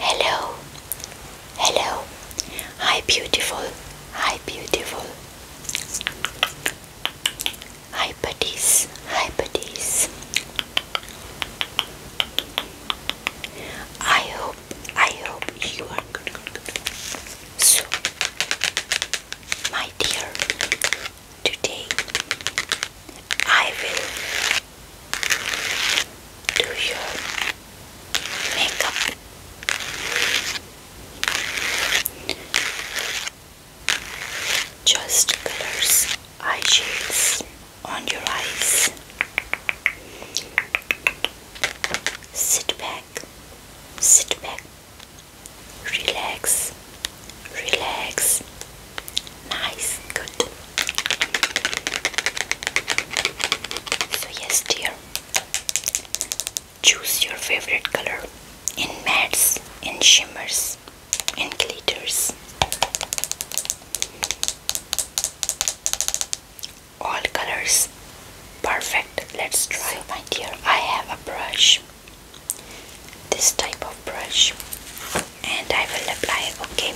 Hello, hello, hi, beautiful, hi, beautiful, hi, buddies, hi, buddies. I hope, I hope you are good, So, my dear, today I will do your makeup. Just colors, eye shades on your eyes. Sit back, sit back, relax, Relax. Nice. Good. So, yes, dear. Choose your favorite color in mattes, in shimmers, in glitters. All colors perfect. Let's try, my dear. I have a brush this type of brush and I will apply okay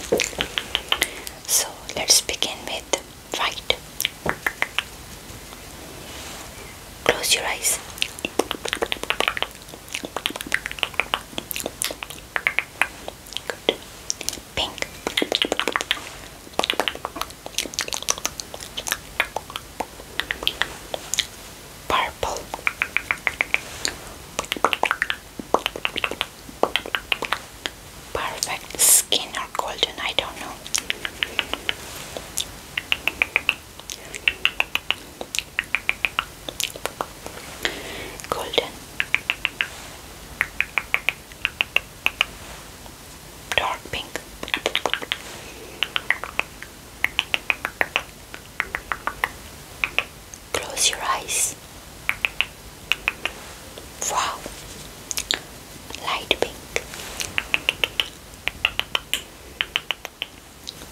so let's begin with white close your eyes pink purple. Perfect skin or golden, I don't know. Golden, dark pink, Close your eyes. Wow, light pink,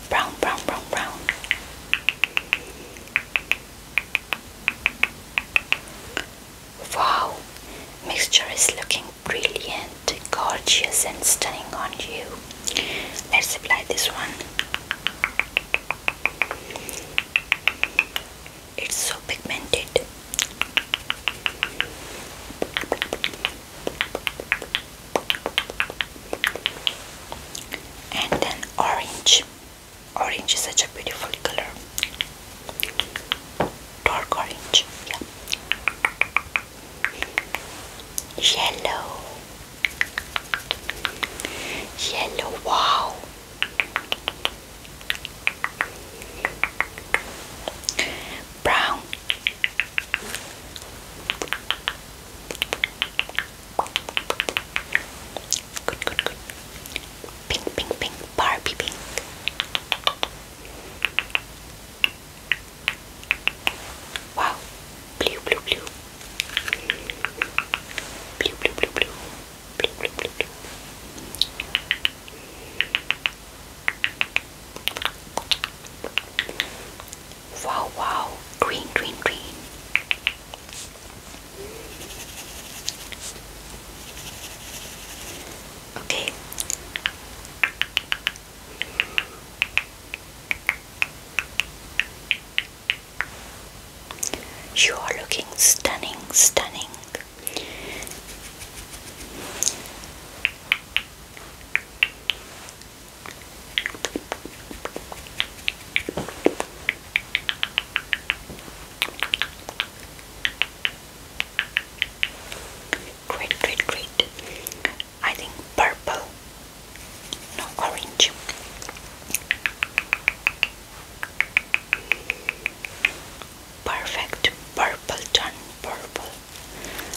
brown, brown, brown, brown. Wow, mixture is looking brilliant gorgeous and stunning on you. Let's apply this one. It's so pigmented. And then orange. Orange is such a beautiful color. Dark orange. Yeah. Yellow. Yellow, wow. Brown. Pink, pink, pink, Barbie pink. Wow, blue, blue, blue, blue, blue, blue, blue, blue, blue, blue, blue. Wow, wow, green, green, green. Okay, you are looking stunning, stunning great, great, great. I think purple, no orange. Perfect purple done purple.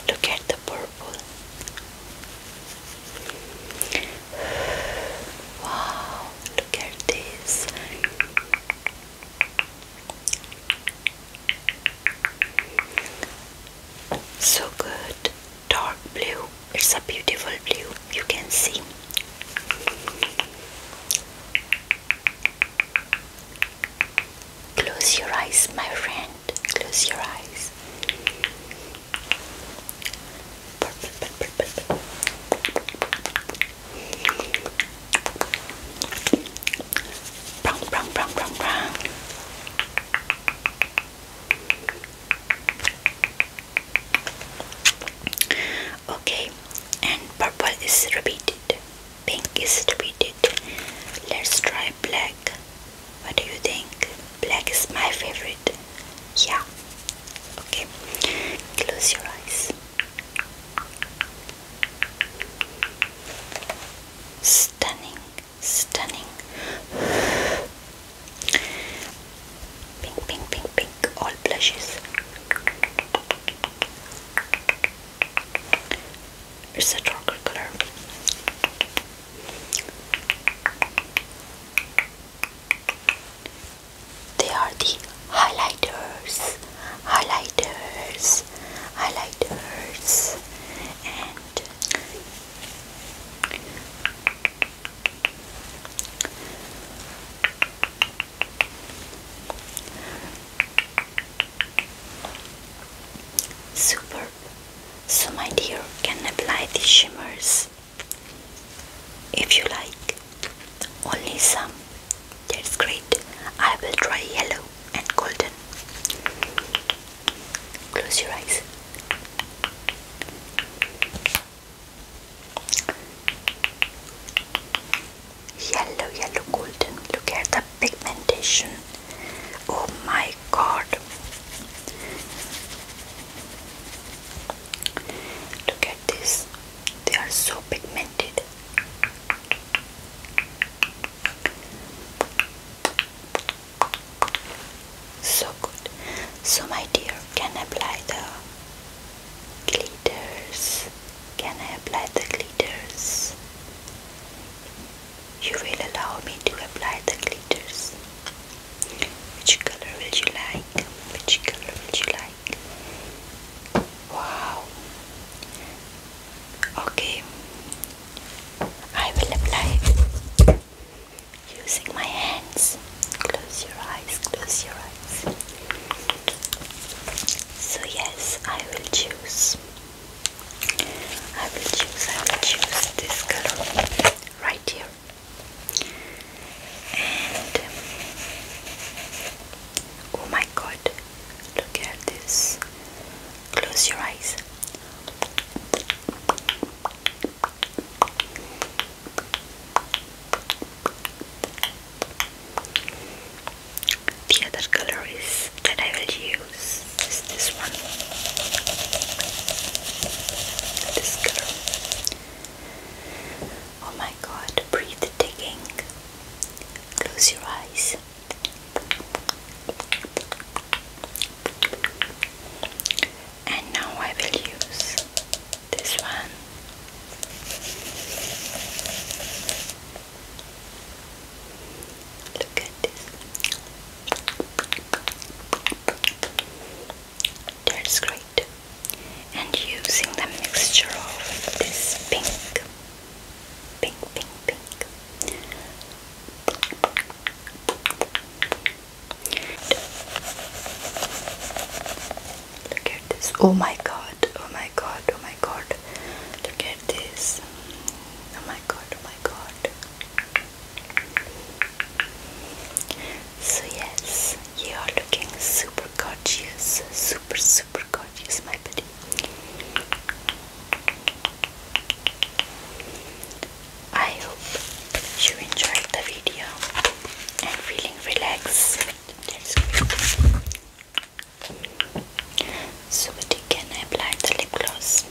Look at the purple. Wow, look at this. So good, dark blue. It's a beautiful blue, you can see. Close your eyes, my friend. Close your eyes. Okay, and purple is repeated, pink is repeated. Let's try black. What do you think? Black is my favorite. Yeah. Okay, close your eyes. Stunning, stunning. Pink, pink, pink, pink, all blushes. It's a darker color they are the highlighters, highlighters, highlighters, and Superb. So, my dear, can apply the shimmers if you like. Only some. That's great. I will try yellow and golden. Close your eyes. Yellow, yellow, golden. Look at the pigmentation. Oh my god. Look at this. They are so pigmented. So good. So my dear, can I apply the glitters? Can I apply the glitters? You will allow me to apply the glitters. Which color will you like? Which color will you like? wow okay I will apply using my hands close your eyes close your eyes so yes I will choose I will choose I will choose this color right here oh my god look at this close your eyes the other color is that I will use is this one this color Oh my god, breathe digging. Close your eyes. And now I will use this one. Look at this that's great and using the mixture of this pink pink pink pink look at this oh my god oh my god oh my god look at this oh my god oh my god so yes, you are looking super gorgeous, super super gorgeous, my buddy. I hope you enjoyed the video and feeling relaxed. That's great. can apply the lip gloss?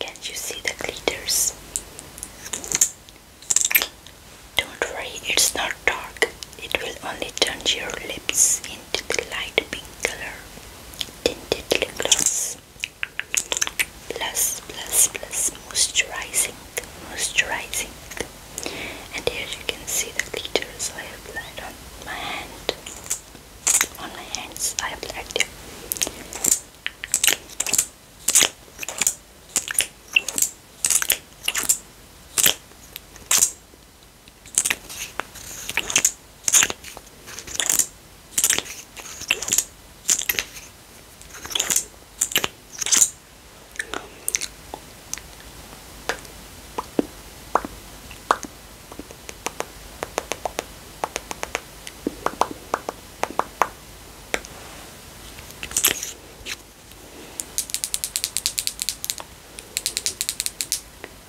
Can you see the glitters? Don't worry, it's not dark. It will only turn your lips into the light pink color tinted lip gloss plus plus plus moisturizing moisturizing and here you can see the glitter so I applied on my hand on my hands I applied them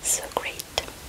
so great.